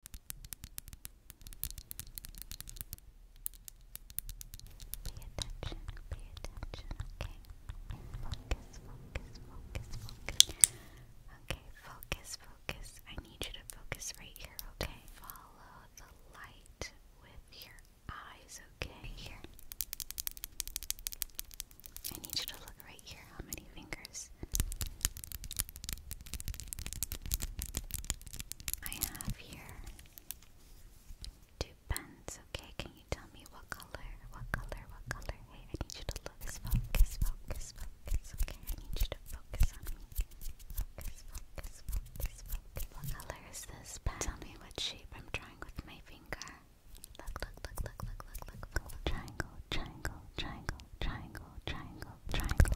Pay attention, pay attention, okay? Focus, focus, focus, focus. Okay, focus, focus. I need you to focus right here, okay? Follow the light with your eyes, okay? Here. I need you to look right here. How many fingers I have here two pens. Okay, can you tell me what color? What color? What color? Hey, I need you to look. Focus, focus, focus. Okay, I need you to focus on me. focus, focus, focus. What color is this pen? Tell me what shape I'm drawing with my finger. Look, look, look, look, look, look, look, look. Triangle, triangle, triangle, triangle, triangle, triangle.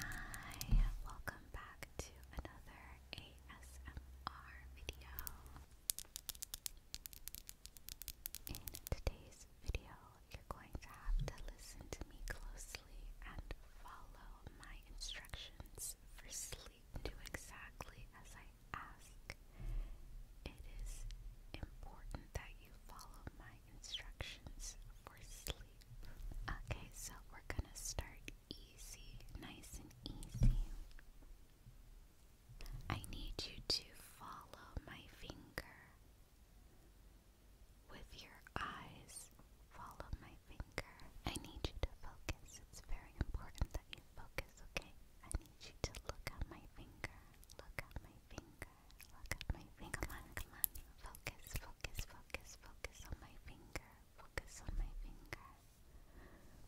Hi, welcome back to another ASMR video. In today's video, you're going to have to listen to me closely and follow my instructions for sleep. Do exactly as I ask. It is important that you follow my instructions for sleep. Okay, so we're gonna start easy, nice and easy. I need you to follow my finger. With your eyes, follow my finger. I need you to focus. It's very important that you focus, okay? I need you to look at my finger. Look at my finger. Look at my finger. Come on, come on. Focus, focus, focus, focus on my finger. Focus on my finger.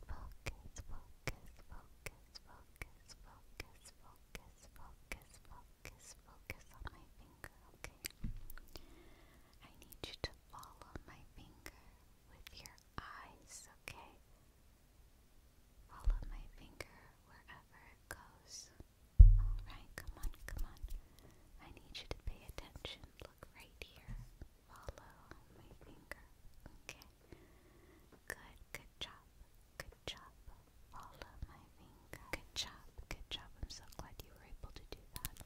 Focus, focus, focus, focus, focus, focus, focus, focus, focus on my finger, okay? I need you to follow my finger with your eyes, okay? Follow my finger wherever it goes. Alright, come on, come on. I need you to pay attention. Look right here follow my finger. Okay. Good, good job. Good job. Follow my finger. Good job, good job. I'm so glad you were able to do that.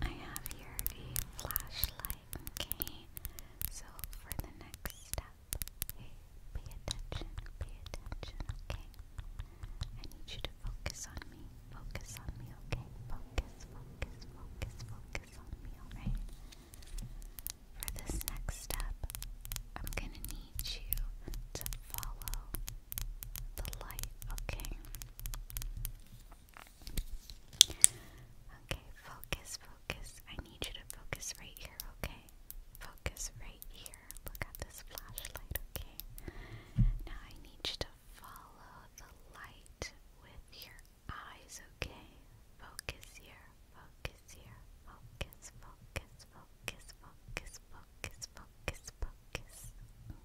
I have here a flashlight, okay? So for the next step, Hey, pay attention, pay attention, okay? I need you to focus on me. Focus on me, okay? Focus, focus, focus, focus on me, alright? For this next step, I'm gonna need you to follow the light, okay? Okay, focus, focus. I need you to focus right here, okay? Focus right here. Look at this flashlight, okay? Now I need you to follow the light with your eyes, okay? Focus here, focus here, focus, focus, focus, focus, focus, focus,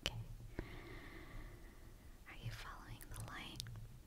Okay. Are you following the light?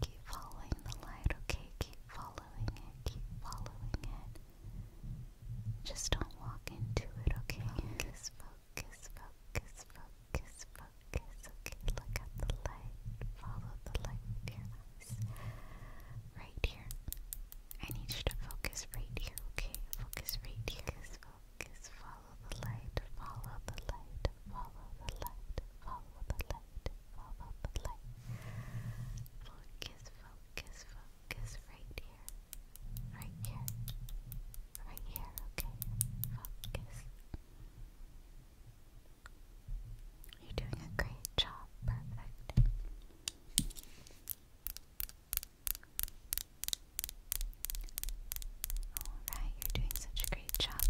Keep following the light, okay? Keep following it, keep following it. Just don't walk into it, okay? Focus, focus, focus, focus, focus, okay? Look at the light. Follow the light Right here. I need you to focus right here, okay? Focus right here. Focus, focus, focus. Follow the light, follow the light, follow the light, follow the light, follow the light. Focus, focus, focus right here, right here, right here, okay? Focus. You're doing a great job, perfect. Alright, you're doing such a great job.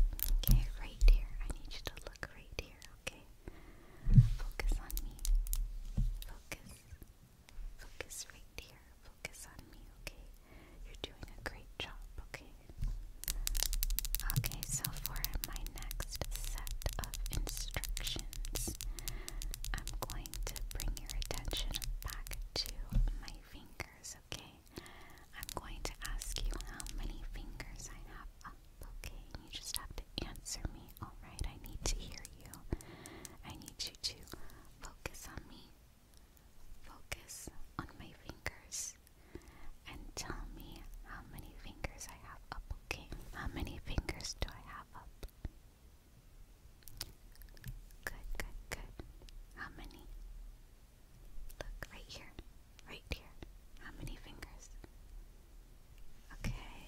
Okay, right here. I need you to look right here, okay? Focus on me. Focus. Focus right here. Focus on me, okay? You're doing a great job, okay? Okay, so for my next set of instructions, I'm going to bring your attention back to my fingers, okay? I'm going to ask you how many fingers I have up, okay? You just have to answer me, alright? I need to hear you. I need you to focus on me, focus on my fingers, and tell me how many fingers I have up, okay? How many fingers do I have up? Good, good, good. How many? Look, right here. Right here. How many fingers? Okay.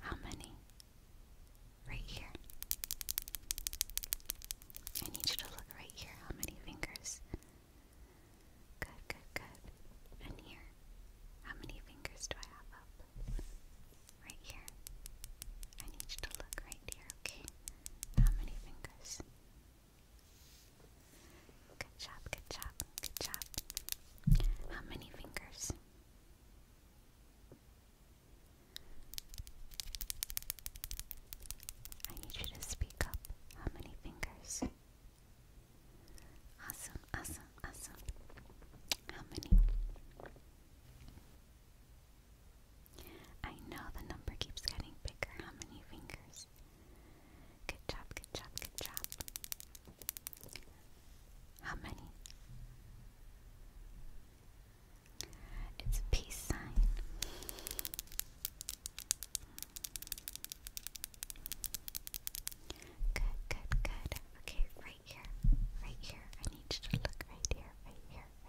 How many? Right here. I need you to look right here. How many fingers? Good, good, good. And here. How many fingers do I have up? Right here. I need you to look right here, okay? How many fingers? Good job, good job, good job. How many fingers? I need you to speak up. How many fingers? Awesome, awesome, awesome. How many? I know the number keeps getting bigger. How many fingers? Good job, good job, good job. How many? It's a peace sign. Good, good, good. Okay, right here, right here. I need you to look right here, right here,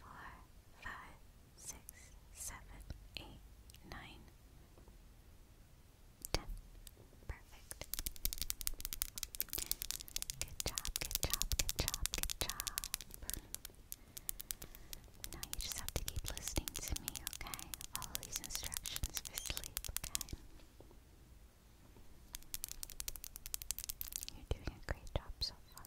four, five, six, seven, eight, nine, ten. Perfect. Good job, good job, good job, good job. Now you just have to keep listening to me, okay? Follow these instructions for sleep, okay? You're doing a great job so far.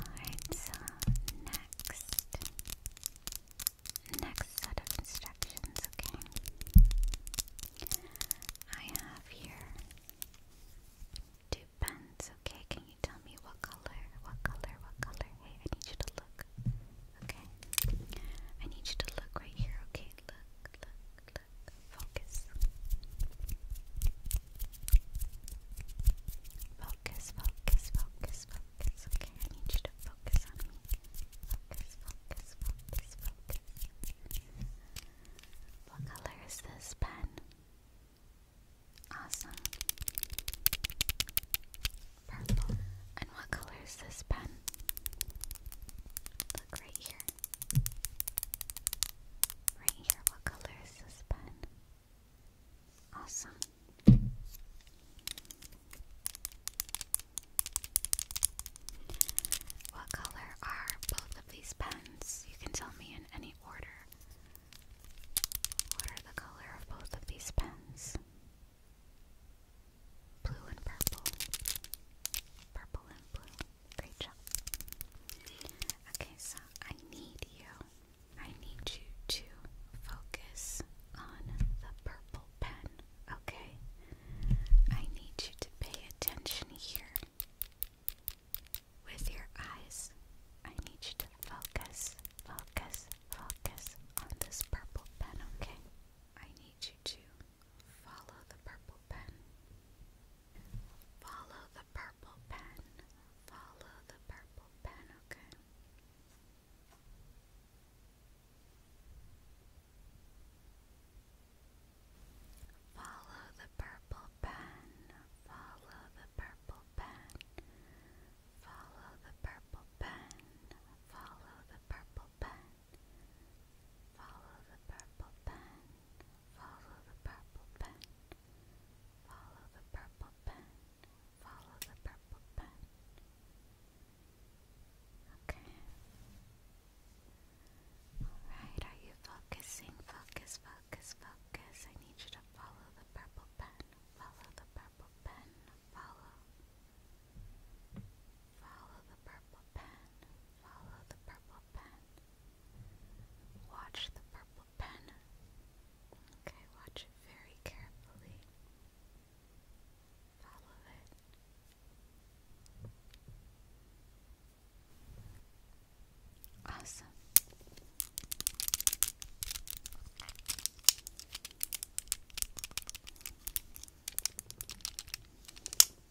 Alright, so next, next set of instructions, okay? I have here two pens, okay? Can you tell me what color, what color, what color? Hey, I need you to look, okay? I need you to look right here, okay? Look, look, focus. Focus, focus, focus, Okay, I need you to focus on me. Focus, focus, focus, focus. What color is this pen? Awesome. Purple. And what color is this pen? Look right here. Right here, what color is this pen? Awesome. What color are both of these pens? You can tell me in any order. What are the color of both of these pens? Blue and purple. Purple and blue. Great job. Okay, so I need you. I need you to focus on the purple pen, okay? I need you to pay attention here. With your eyes, I need you to focus, focus, focus on this purple pen, okay? I need you to Follow the purple pen. Follow the purple pen. Follow the purple pen, okay? Follow the purple pen. Follow the purple pen. Follow the purple pen. Follow the purple purple pen. Follow the purple pen. Follow the purple pen. Follow the purple pen. Follow the purple pen. Okay. Alright, are you focusing? Focus, focus, focus. I need you to follow the purple pen. Follow the purple pen. Follow. Follow the purple pen. Follow the purple pen. Watch the purple pen. Okay, watch it very carefully. Follow it. Awesome.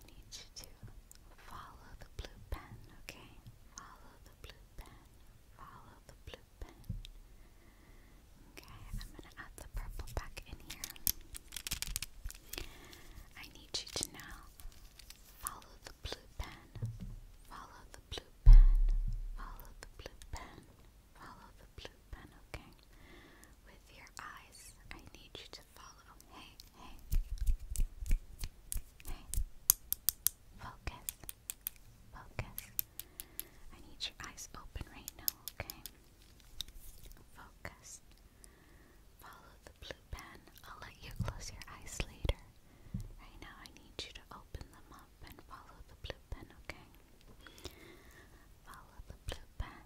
I need you to follow the blue pen, okay? Follow the blue pen. Follow the blue pen. Okay, I'm gonna add the purple back in here. I need you to now follow the blue pen. Follow the blue pen. Follow the blue pen. Follow the blue pen, okay? With your eyes, I need you to follow. Hey, hey. Hey. Focus. Focus. I need your eyes open right now, okay? Focus. Follow the blue pen. I'll let you close your eyes later. Right now, I need you to open them up and follow the blue pen, okay? Follow the blue pen.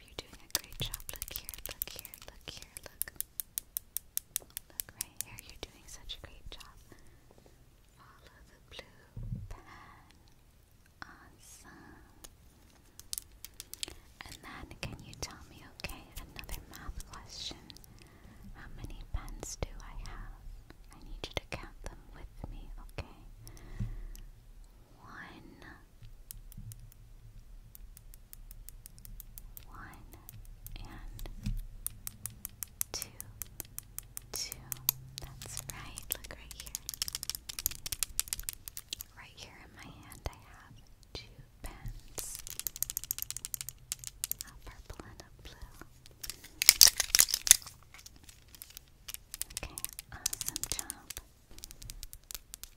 You're doing a great job. Look here, look here, look here, look. Look right here. You're doing such a great job. Follow the blue pen. Awesome. And then, can you tell me, okay, another math question? How many pens do I have? I need you to count them with me, okay? One, one and two, two. That's right. Look right here. Right here in my hand, I have two pens a purple and a blue. Okay, awesome job.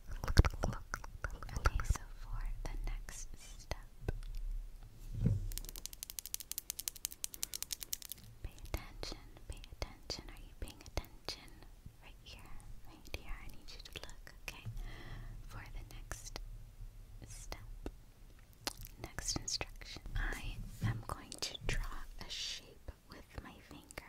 Okay, so for the next step, pay attention, pay attention. Are you paying attention? Right here, right here. I need you to look, okay? For the next step, next instruction, I am going to draw a shape with my finger,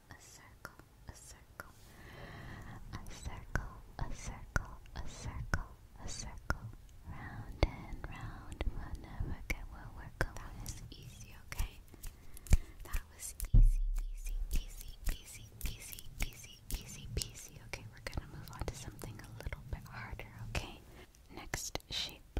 a circle, a circle, a circle, a circle, a circle, a circle, round and round. We'll never get where we're going. That is easy, okay? That was easy, easy, easy, easy, easy, easy, easy, easy. Okay, we're gonna move on to something a little bit harder, okay? Next shape.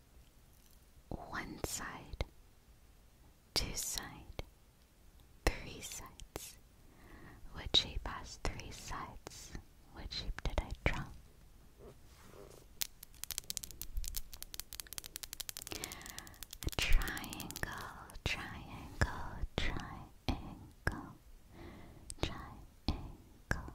one side, two side, three sides. Which shape has three sides? Which shape did I draw? triangle, triangle, triangle, triangle.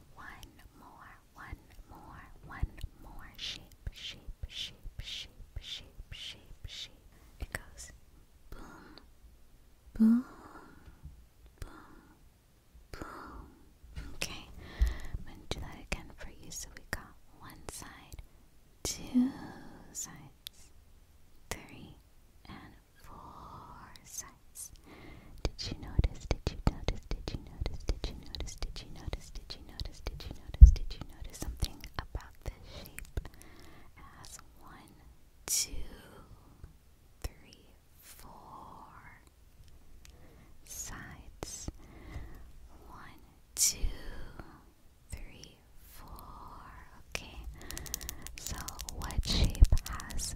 one more, one more, one more sheep, sheep, sheep, sheep, sheep, sheep, sheep. It goes boom, boom, boom, boom. Okay, I'm gonna do that again for you. So we got one side, two sides, three, and four sides. Did you notice? Did you notice? Did you notice? Did you notice? Did you notice? Did you notice? Did you notice? Did you notice something about the shape? It has one, two, three, four sides. One, two, three, four. Okay. So, what shape has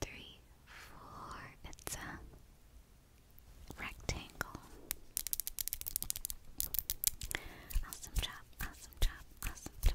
three, four. It's a rectangle. Awesome job, awesome job, awesome job.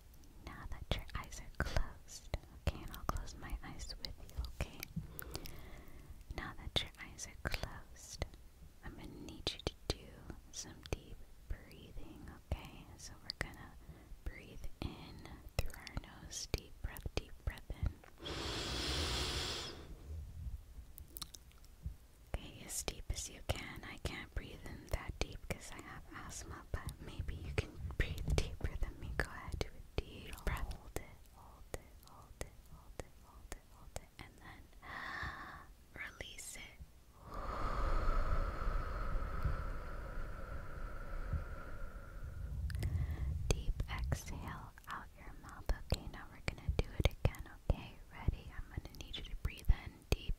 now that your eyes are closed, okay, and I'll close my eyes with you, okay? Now that your eyes are closed, I'm gonna need you to do some deep breathing, okay? So we're gonna breathe in through our nose, deep breath, deep breath in. Okay, as deep as you can. I can't breathe in that deep because I have asthma, but maybe you can breathe deeper than me. Go ahead, do a deep Hold it, hold it, hold it, hold it, hold it, hold it, and then release it. Deep exhale out your mouth. Okay, now we're gonna do it again. Okay, ready? I'm gonna need you to breathe in deep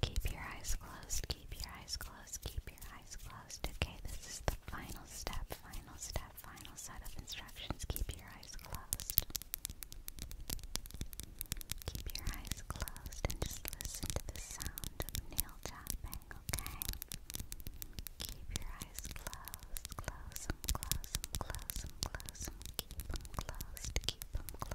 Keep your eyes closed, keep your eyes closed, keep your eyes closed. Okay, this is the final step, final step, final set of instructions. Keep your eyes closed. Keep your eyes closed and just listen to the sound of nail tapping, okay? Keep your eyes closed, close them, close them, close them, close them, keep them closed, keep them closed.